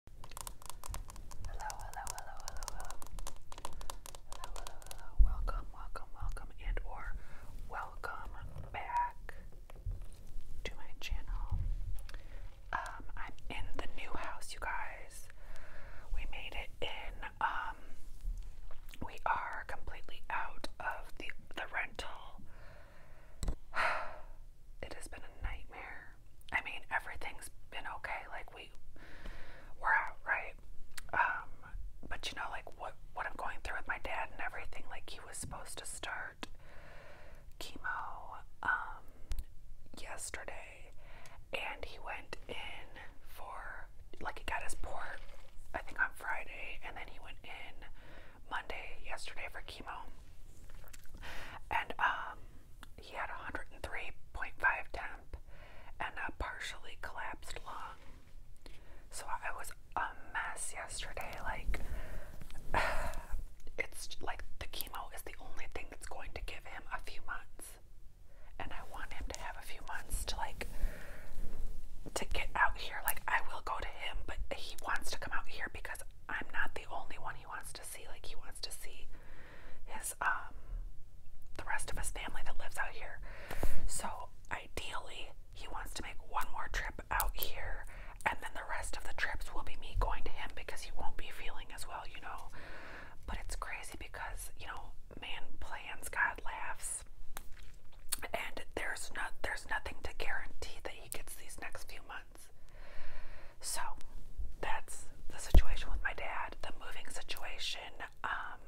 Hello, hello, hello, hello, hello. Hello, hello, Welcome, welcome, welcome, and or welcome back to my channel. Um, I'm in the new house, you guys. We made it in. Um, we are completely out of the the rental. It has been a nightmare. I mean, everything's been okay. Like we, we're out, right? Um, but you know, like what what I'm going through with my dad and everything. Like he was supposed to start chemo um, yesterday, and he went in for like he got his port, I think on Friday, and then he went in Monday yesterday for chemo. And um, he had 103.5 temp and a partially collapsed lung. So I was a mess yesterday. Like, it's like the chemo is the only thing that's going to give him a few months. And I want him to have a few months to, like, to get out here. Like, I will go to him, but he wants to come out here because I'm not the only one he wants to see. Like, he wants to see his um the rest of his family that lives out here. So ideally he wants to make one more trip out here and then the rest of the trips will be me going to him because he won't be feeling as well, you know. But it's crazy because, you know, man plans, God laughs. And there's not there's nothing to guarantee that he gets these next few months. So that's the situation with my dad, the moving situation. Um,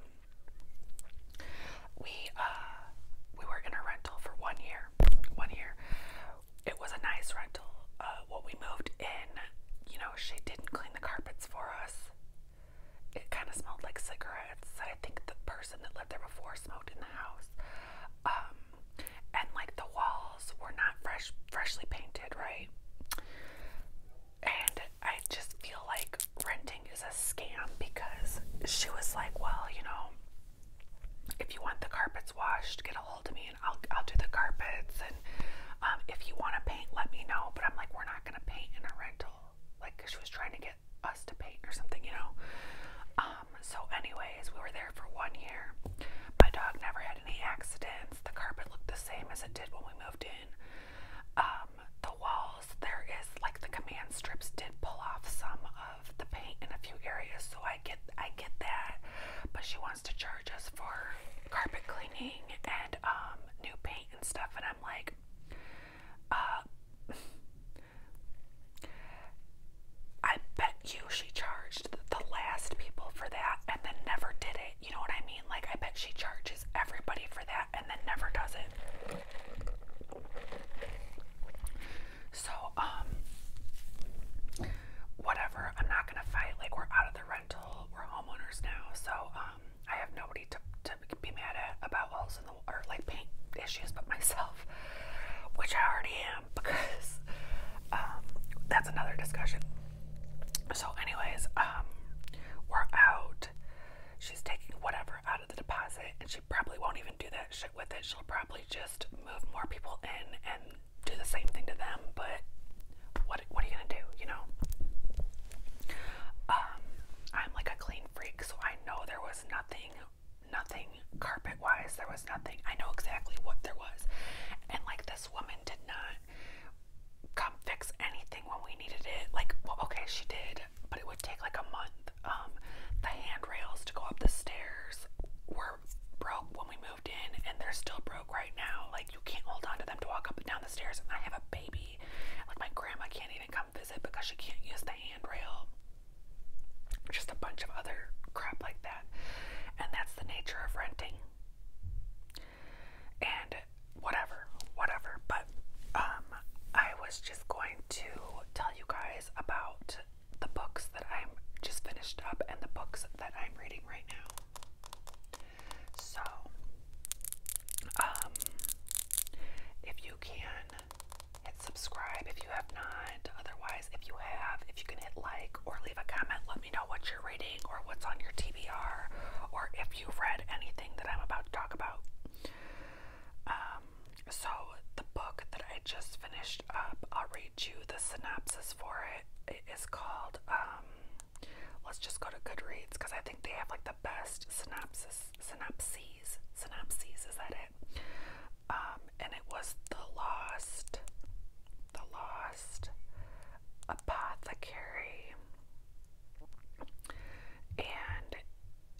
we uh, we were in a rental for one year. One year. It was a nice rental. Uh, what we moved in, you know, she didn't clean the carpets for us. It kind of smelled like cigarettes. I think the person that lived there before smoked in the house. Um, and like the walls were not fresh freshly painted, right? And I just feel like renting is a scam because she was like, well, you know, if you want the carpets washed, get a hold of me and I'll I'll do the carpets and um, if you want to paint, let me know. But I'm like, we're not gonna paint in a rental. Like she was trying to get us to paint or something, you know. Um, so anyways, we were there for one year. My dog never had any accidents. The carpet looked the same as it did when we moved in. Um, the walls, there is like the command strips did pull off some of the paint in a few areas, so I get I get that. But she wants to charge us for carpet cleaning and um, new paint and stuff, and I'm like, uh, I bet you she charged the last people for that and then never did it. You know what I mean? Like I bet she charges everybody for that and then never does it. So, um whatever, I'm not gonna fight. Like we're out of the rental, we're homeowners now, so um I have nobody to to be mad at about walls in the or like paint issues but myself, which I already am because um, that's another discussion. So, anyways, um, we're out. She's taking whatever out of the deposit, and she probably won't even do that shit with it. She'll probably just move more people in and do the same thing to them. But what what are you gonna do? You know. Um, I'm like a clean freak, so I know there was nothing, nothing carpet wise. There was was nothing. I know exactly what there was. And like this woman did not come fix anything when we needed it. Like, well, okay, she did, but it would take like a month. Um, the handrails to go up the stairs were broke when we moved in, and they're still broke right now. Like, you can't hold on to them to walk up and down the stairs. And I have a baby. Like, my grandma can't even come visit because she can't use the handrail. Just a bunch of other crap like that. And that's the nature of renting. And whatever, whatever. But um, I was just going to tell you guys about the books that I'm just finished up and the books that I'm reading right now. So, um, if you can hit subscribe if you have not, otherwise if you have, if you can hit like or leave a comment, let me know what you're reading or what's on your TBR or if you've read anything that I'm about to talk about. Um, so, the book that I just finished up, I'll read you the synopsis for it. It is called, um, let's just go to Goodreads because I think they have like the best synopsis, synapses, synapses, is that it? Um, and it was The Lost, The Lost apothecary and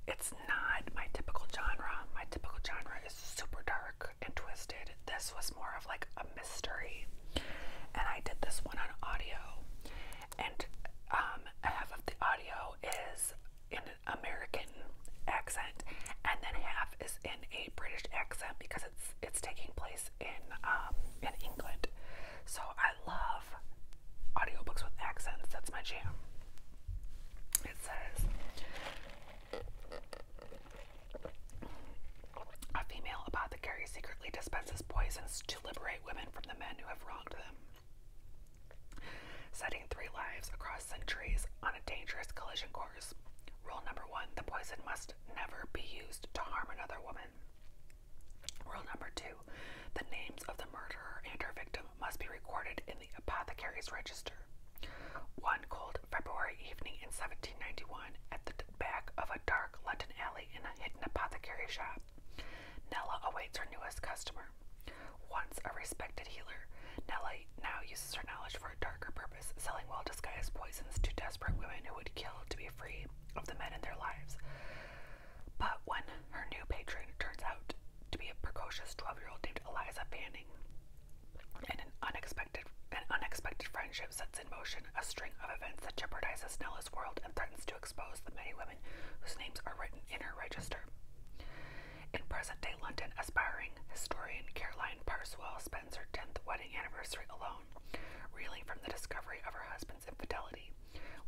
it's not my typical genre. My typical genre is super dark and twisted. This was more of like a mystery. And I did this one on audio. And um, half of the audio is in American accent, and then half is in a British accent because it's it's taking place in um, in England. So I love audiobooks with accents. That's my jam. It says a female apothecary secretly dispenses poisons to liberate women from the men who have wronged them. Setting three lives across centuries on a dangerous collision course Rule number one the poison must never be used to harm another woman. Rule number two the names of the murderer and her victim must be recorded in the apothecary's register. One cold February evening in 1791, at the back of a dark London alley in a hidden apothecary shop, Nella awaits her newest customer. Once a respected healer, Nella now uses her knowledge for a darker purpose selling well disguised poisons to desperate women who would kill to be free of the men in their lives. But when her new patron turns out to be a precocious 12 year old named Eliza Fanning, an unexpected, an unexpected friendship sets in motion a string of events that jeopardizes Nella's world and threatens to expose the many women whose names are written in her register. In present day London, aspiring historian Caroline Parswell spends her 10th wedding anniversary alone reeling from the discovery of her husband's infidelity,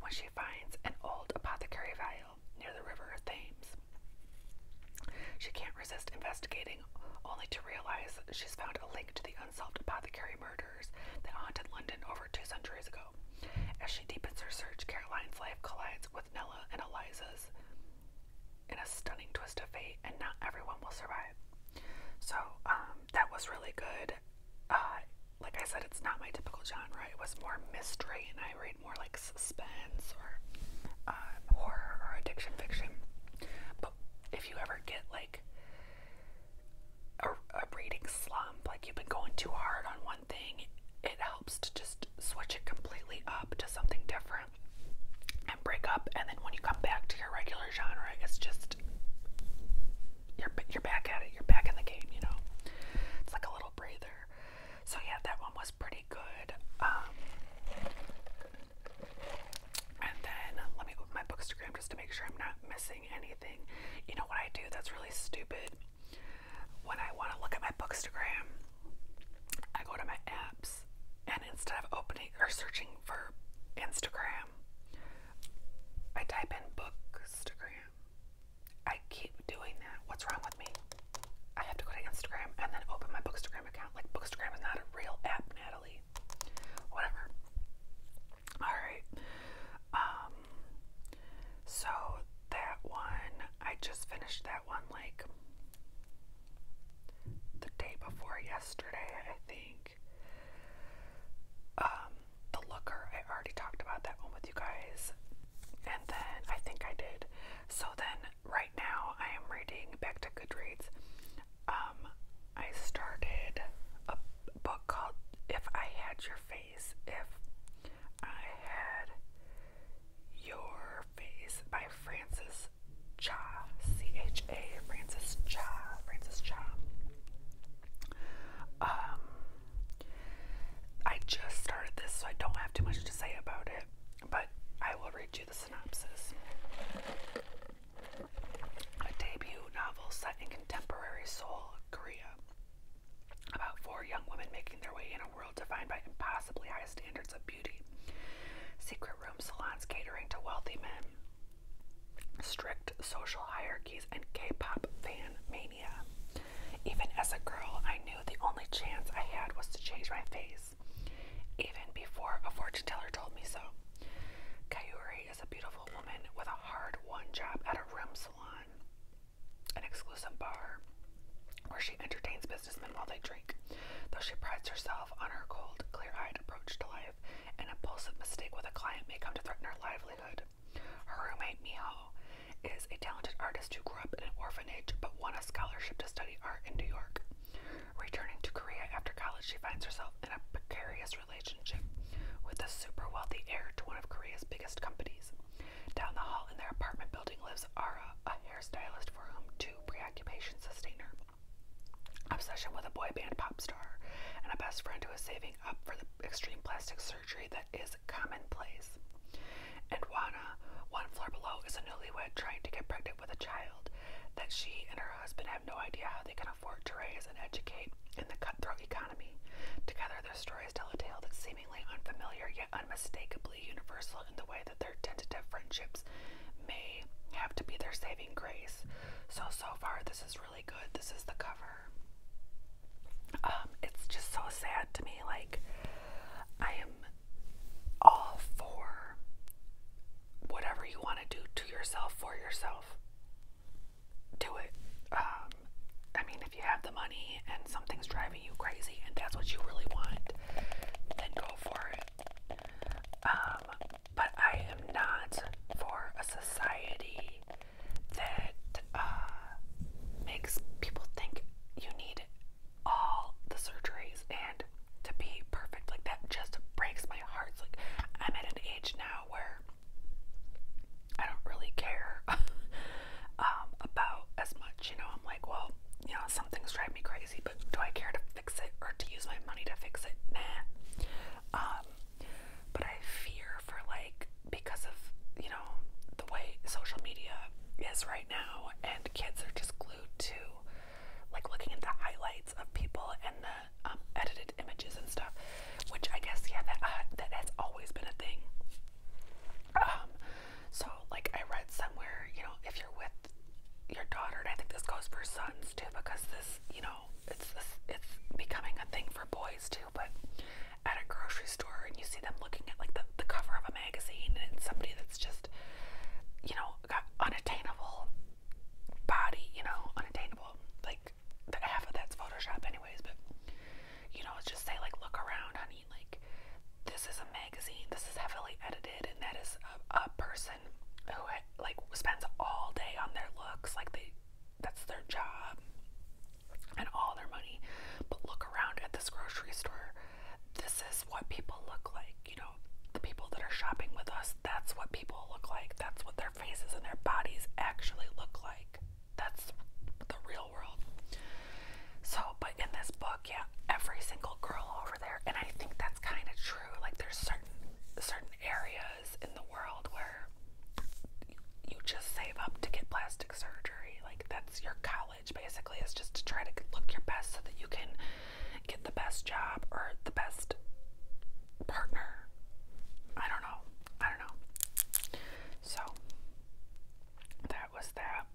when she finds an old apothecary vial near the river Thames. She can't resist investigating, only to realize she's found a link to the unsolved apothecary murders that haunted London over two centuries ago. As she deepens her search, Caroline's life collides with Nella and Eliza's in a stunning twist of fate, and not everyone will survive. So um, that was really good. Uh, like I said, it's not my typical genre. It was more mystery, and I read more like suspense or uh, horror or addiction fiction. But if you ever get like a, a reading slump, like you've been going too hard on one thing, it helps to just switch it completely up to something different and break up and then when you come back to your regular genre it's just you're you're back at it you're back in the game you know it's like a little breather so yeah that one was pretty good um, and then um, let me open my bookstagram just to make sure I'm not missing anything you know what I do that's really stupid when I want to look at my bookstagram I go to my apps and instead of opening or searching for Instagram, I type in bookstagram. I keep doing that. What's wrong with me? I have to go to Instagram and then open my bookstagram account. Like bookstagram is not a real app, Natalie. Whatever. Alright. Um so that one I just finished that one like the day before yesterday, I think. Um, the Looker, I already talked about that one with you guys. And then I think I did. So then right now I am reading back to Goodreads. Um, I started a book called If I Had Your Face, If I Had Your Face by Francis Cha, C H A, Francis Cha, Francis Cha. Um, I just started this, so I don't have too much to say about it, but I will read you the synopsis. A debut novel set in contemporary Seoul, Korea, about four young women making their way in a world defined by impossibly high standards of beauty. Secret room salons catering to wealthy men, strict social hierarchies, and K pop fan mania. Even as a girl, I knew the only chance I had was to change my face, even before a fortune teller told me so. Kayuri is a beautiful woman with a hard won job at a room salon, an exclusive bar where she entertains businessmen while they drink. Though she prides herself on her cold, clear eyed approach to life, an impulsive mistake with a client may come to threaten her livelihood. Her roommate, Miho, is a talented artist who grew up in an orphanage but won a scholarship to study art in New York. Returning to Korea after college, she finds herself in a precarious relationship with a super wealthy heir to one of Korea's biggest companies. Down the hall in their apartment building lives Ara, a hairstylist for whom two preoccupations sustain her obsession with a boy band pop star, and a best friend who is saving up for the extreme plastic surgery that is commonplace. And Juana, one floor below, is a newlywed trying to get pregnant with a child that she and her husband have no idea how they can afford to raise and educate in the cutthroat economy. Together, their stories tell a tale that seemingly unfamiliar yet unmistakably universal in the way that their tentative friendships may have to be their saving grace. So, so far, this is really good. This is the cover. Um, it's just so sad to me. Like, I am all for whatever you want to do to yourself for yourself. Do it. Um, I mean, if you have the money and something's driving you crazy and that's what you really want, then go for it. Um, but I am not for a society that uh, makes people think you need all the surgeries and to be perfect. Like, that just breaks my heart. like, I'm at an age now where I don't really care um, about as much. You know, I'm like, well, you know, some things drive me crazy, but do I care to fix it or to use my money to fix it. Nah. Um, but I fear for like because of, you know, the way social media is right now and kids are just glued to like looking at the highlights of people and the um, edited images and stuff, which I guess yeah that uh, that has always been a thing. Um, so like I read somewhere, you know, if you're with your daughter, and I think this goes for sons too, because this, you know, it's this, it's becoming a thing for boys too. But at a grocery store, and you see them looking at like the, the cover of a magazine, and somebody that's just, you know, got unattainable body, you know, unattainable. Like the, half of that's Photoshop, anyways. But you know, just say like, look around, honey. Like this is a magazine. This is heavily edited, and that is a, a person person who like spends all day on their looks, like they that's their job and all their money. But look around at this grocery store. This is what people look like, you know. The people that are shopping with us, that's what people look like. That's what their faces and their bodies actually look like. That's the real world. So, but in this book, yeah, every single girl over there, and I think that's kind of true. Like, there's certain certain areas in the world where you just save up to get plastic surgery. Like, that's your college basically, is just to try to look your best so that you can get the best job or the best partner. I don't know. I don't know. So, that was that.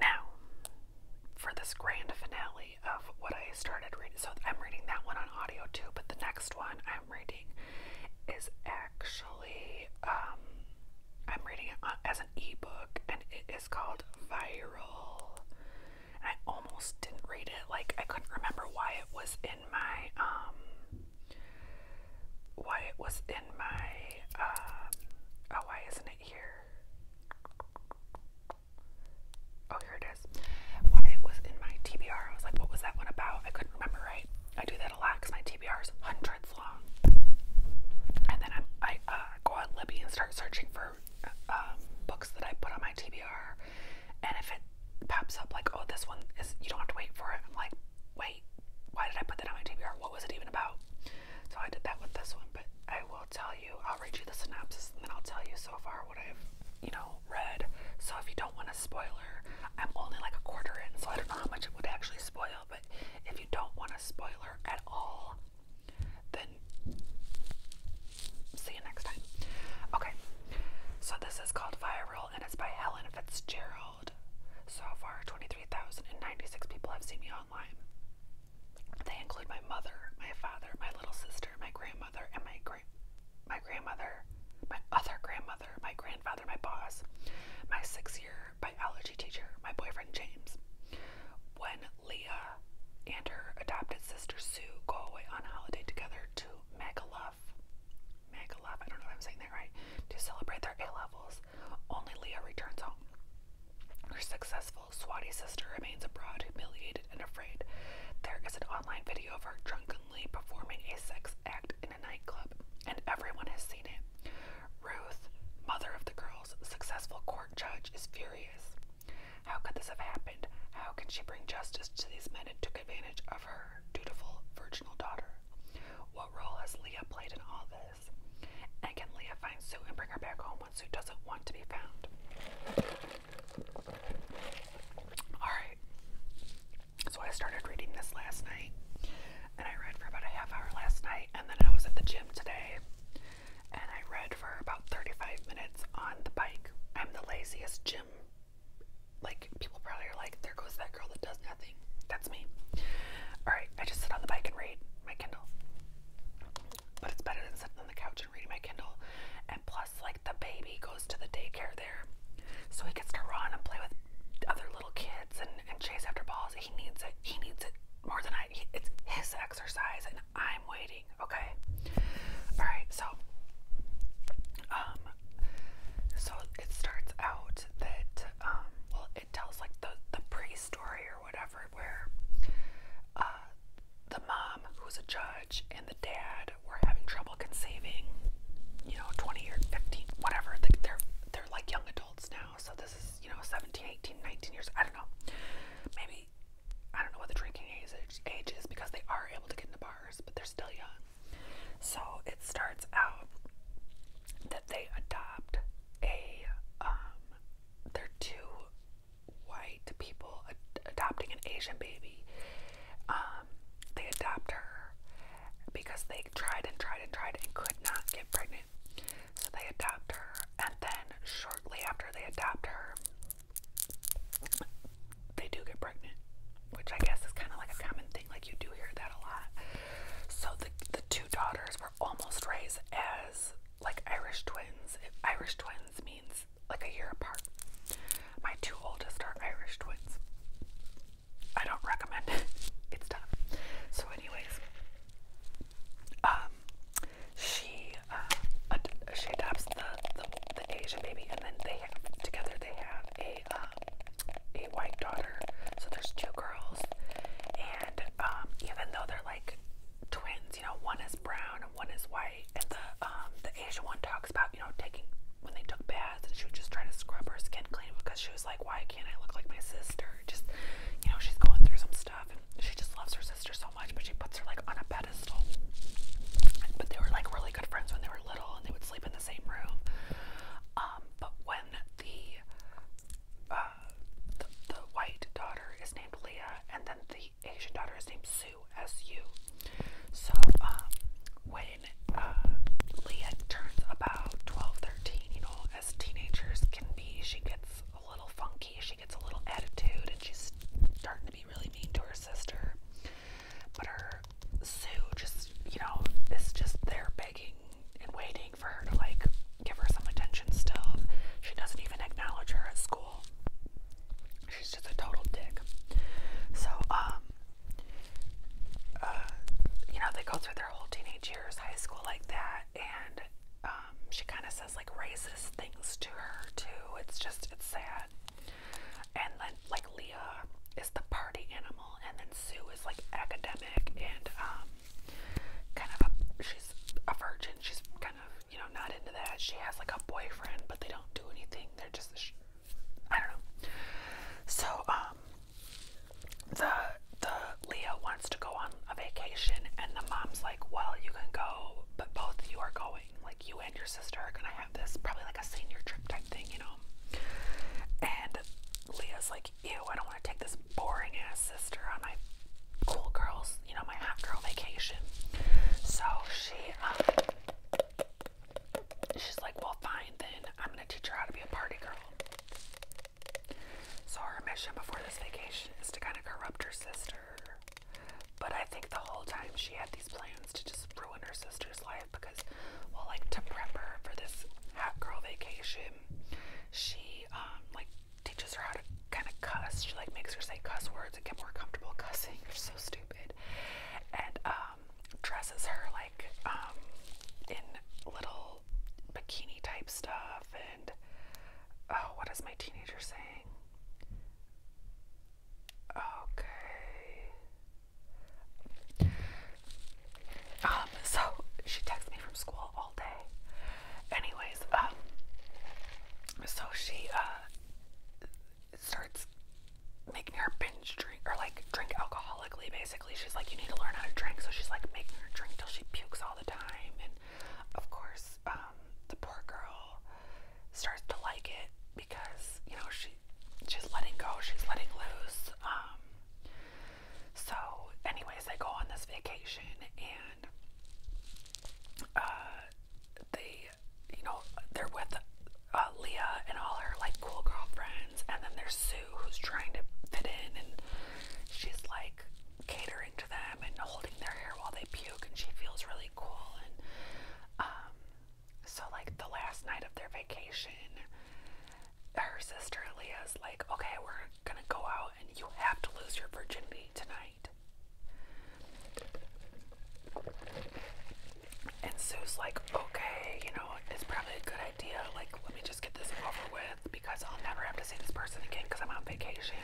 Now, for this grand finale, of what I started reading. So I'm reading that one on audio too, but the next one I'm reading is actually um, I'm reading it as an ebook, and it is called Viral. I almost didn't read it; like I couldn't remember why it was in my um, why it was in my uh, oh, why isn't it here? Oh, here it is. Why it was in my TBR. I was like, what was that one about? I couldn't remember right. I do that a lot because my TBR is hundreds long. And then i uh, go on Libby and start searching for um, books that I put on my TBR. And if it pops up like, oh, this one is, you don't have to wait for it. I'm like, wait, why did I put that on my TBR? What was it even about? So I did that with this one, but I will tell you, I'll read you the synopsis and then I'll tell you so far what I've, you know, read. So if you don't want a spoiler, I'm only like a quarter in, so I don't know how much it would actually spoil. But if you don't want a spoiler at all, then see you next time. Okay, so this is called Viral and it's by Helen Fitzgerald. So far, 23,096 people have seen me online. They include my mother, my father, my little sister, my grandma grandmother and my gra my grandmother, my other grandmother, my grandfather, my boss, my sixth year biology teacher, my boyfriend James. When Leah and her adopted sister Sue go away on holiday together to Magaluf, Magaluf, I don't know if I'm saying that right, to celebrate their A levels, only Leah returns home. Her success Swati's sister remains abroad, humiliated and afraid. There is an online video of her drunkenly performing a sex act in a nightclub, and everyone has seen it. Ruth, mother of the girls, successful court judge, is furious. How could this have happened? How can she bring justice to these men who took advantage of her dutiful, virginal daughter? What role has Leah played in all this? And can Leah find Sue and bring her back home when Sue doesn't want to be found? Alright. So I started reading this last night. And I read for about a half hour last night. And then I was at the gym today. And I read for about 35 minutes on the bike. I'm the laziest gym. Like, people probably are like, there goes that girl that does nothing. That's me. Alright, I just sit on the bike and read my Kindle. But it's better than sitting on the couch and reading my Kindle. And plus, bus. Like the baby goes to the daycare there, so he gets to run and play with other little kids and, and chase after balls. He needs it. He needs it more than I. He, it's his exercise, and I'm waiting. Okay. All right. So, um, so it starts out that um, well, it tells like the the pre-story or whatever where uh the mom who's a judge much, and the dad were having trouble conceiving. You know, 20 or 15, whatever. They're they're like young adults now, so this is you know 17, 18, 19 years. I don't know. Maybe I don't know what the drinking age age is because they are able to get into bars, but they're still young. So it starts out that they adopt a um, their two white people adopting an Asian baby. Um, they adopt her because they tried and tried and tried and could not get pregnant. So they adopt her, and then shortly after they adopt her, they do get pregnant, which I guess is kind of like a common thing. Like you do hear that a lot. So the the two daughters were almost raised as like Irish twins. Irish twins means like a year apart. My two oldest are Irish twins. I don't recommend it. It's tough. So, anyways, um, she uh, she adopts the, the the Asian baby, and then they together they have a uh, a white daughter. So there's two girls, and um, even though they're like twins, you know, one is brown and one is white. And the um the Asian one talks about, you know, taking when they took baths and she would just try to scrub her skin clean because she was like, Why can't I look like my sister? Just you know, she's going through some stuff and she just loves her sister so much, but she puts her like on a pedestal. But they were like really good friends when they were little and they would sleep in the same room. Um, but when the uh the, the white daughter is named Leah and then the Asian daughter is named Sue, S-U. So, um, when uh, Leah turns about 12, you know, as teenagers can be, she gets a little funky, she gets a little attitude, and she's starting to be really mean to her sister. But her Sue just, you know, is just there begging and waiting for her to like give her some attention still. She doesn't even acknowledge her at school. She's just a total dick. So, um, uh, you know, they go through their whole teenage years, high school, like that, and um, she kind of says like racist things to her too. It's just, it's sad. And then, like, Leah is the party animal, and then Sue is like academic and um, kind of a, she's a virgin. She's kind of you know, not into that. She has like a boyfriend, but they don't do anything. They're just, I don't know. So, um, the the Leah wants to go on a vacation, and the mom's like, "Well, you can go, but both you are going. Like, you and your sister are gonna have this probably like a senior trip type thing, you know." And Leah's like, "Ew, I don't want to take this boring ass sister on my cool girls, you know, my hot girl vacation. So she, um, she's like, well, fine, then I'm gonna teach her how to be a party girl. So her mission before this vacation is to kind of corrupt her sister. But I think the whole time she had these plans to just ruin her sister's life because, well, like to prep her for this hot girl vacation, she um, like teaches her how to kind of cuss. She like makes her say cuss words and get more comfortable cussing. You're so stupid. And um, dresses her like um, in little bikini type stuff. And oh, what is my teenager saying? Okay. Um, so she texts me from school all day. Anyways, um, so she, uh, starts making her binge drink or like drink alcoholically basically. She's like, you need to learn how to drink. So she's like making her drink till she pukes all the time. And of course, um, the poor girl starts to like it because, you know, she she's letting go, she's letting loose. Um, so anyways they go on this vacation and uh, they you know, they're with uh, Leah and all her like cool girlfriends, and then there's Sue who's trying to fit in, and she's like catering to them and holding their hair while they puke, and she feels really cool. And um, so like the last night of their vacation, her sister Leah's like, okay, we're gonna go out, and you have to lose your virginity tonight. And Sue's like, okay, you know, it's probably a good idea. Like, let me just get this over with because I'll never have to see this person again because I'm on vacation.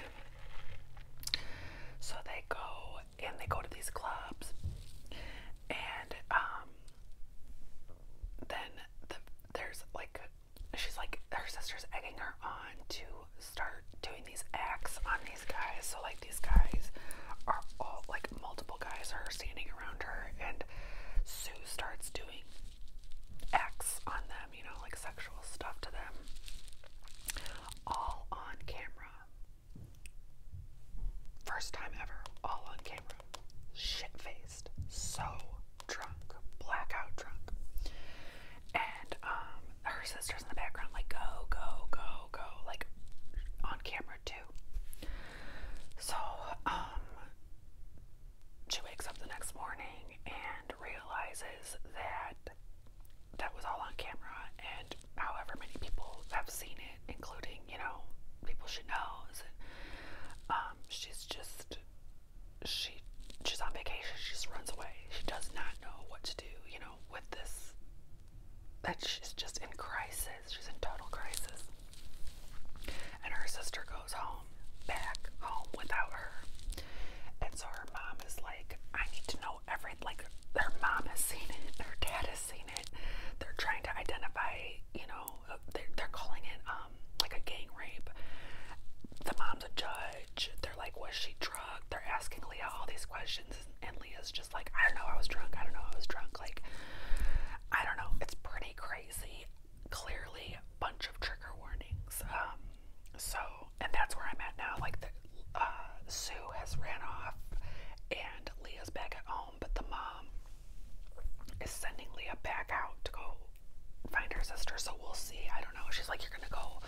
So they go and they go to these clubs, and um, then the, there's like, she's like, her sister's egging her on to start doing these acts on these guys. So, like, these guys are all, like, multiple guys are standing around her, and Sue starts doing acts on them, you know, like sexual stuff to them, all on camera. First time ever, all on camera. Shit faced, so drunk, blackout drunk and um, her sister's in the background, like, go, go, go, go, like on camera too. So, um, she wakes up the next morning and realizes that that was all on camera, and however many people have seen it, including, you know, people she knows. Um, she's just, she, she's on vacation. She just runs away. She does not know what to do. You know with this, that she's just in crisis. She's in total crisis. And her sister goes home, back home without her. And so her mom is like, I need to know everything. Like, their mom has seen it, Their dad has seen it. They're trying to identify, you know, uh, they're, calling it um like a gang rape. The mom's a judge. They're like, was she drugged? They're asking Leah all these questions and Leah's just like, I don't know, I was drunk, I don't know, I was drunk. Like, I don't know, it's pretty crazy. Clearly, bunch of trigger warnings. Um, so, and that's where I'm at now. Like, the, uh, Sue has ran off, and Leah's back at home, but the mom is sending Leah back out to go find her sister. So we'll see. I don't know. She's like, you're gonna go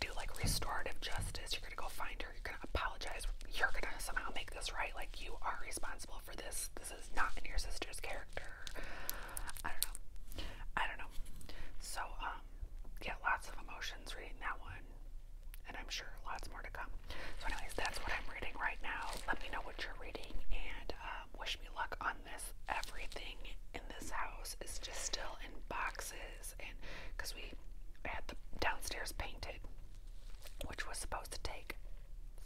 do like restorative justice. You're gonna go find her. You're gonna apologize. You're gonna somehow make this right. Like you are responsible for this. This is not in your sister's character. I don't know. I don't know. So um, yeah, lots of emotions reading that one, and I'm sure lots more to come. So anyways, that's what I'm reading right now. Let me know what you're reading, and um, wish me luck on this. Everything in this house is just still in boxes because we had the downstairs painted, which was supposed to take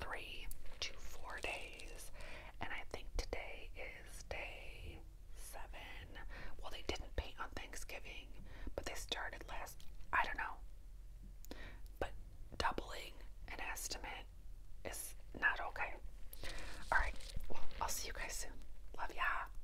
three to four days, and I think today is day seven. Well, they didn't paint on Thanksgiving, but they started last, I don't know. But doubling an estimate is not okay. Alright, well, I'll see you guys soon. Love ya.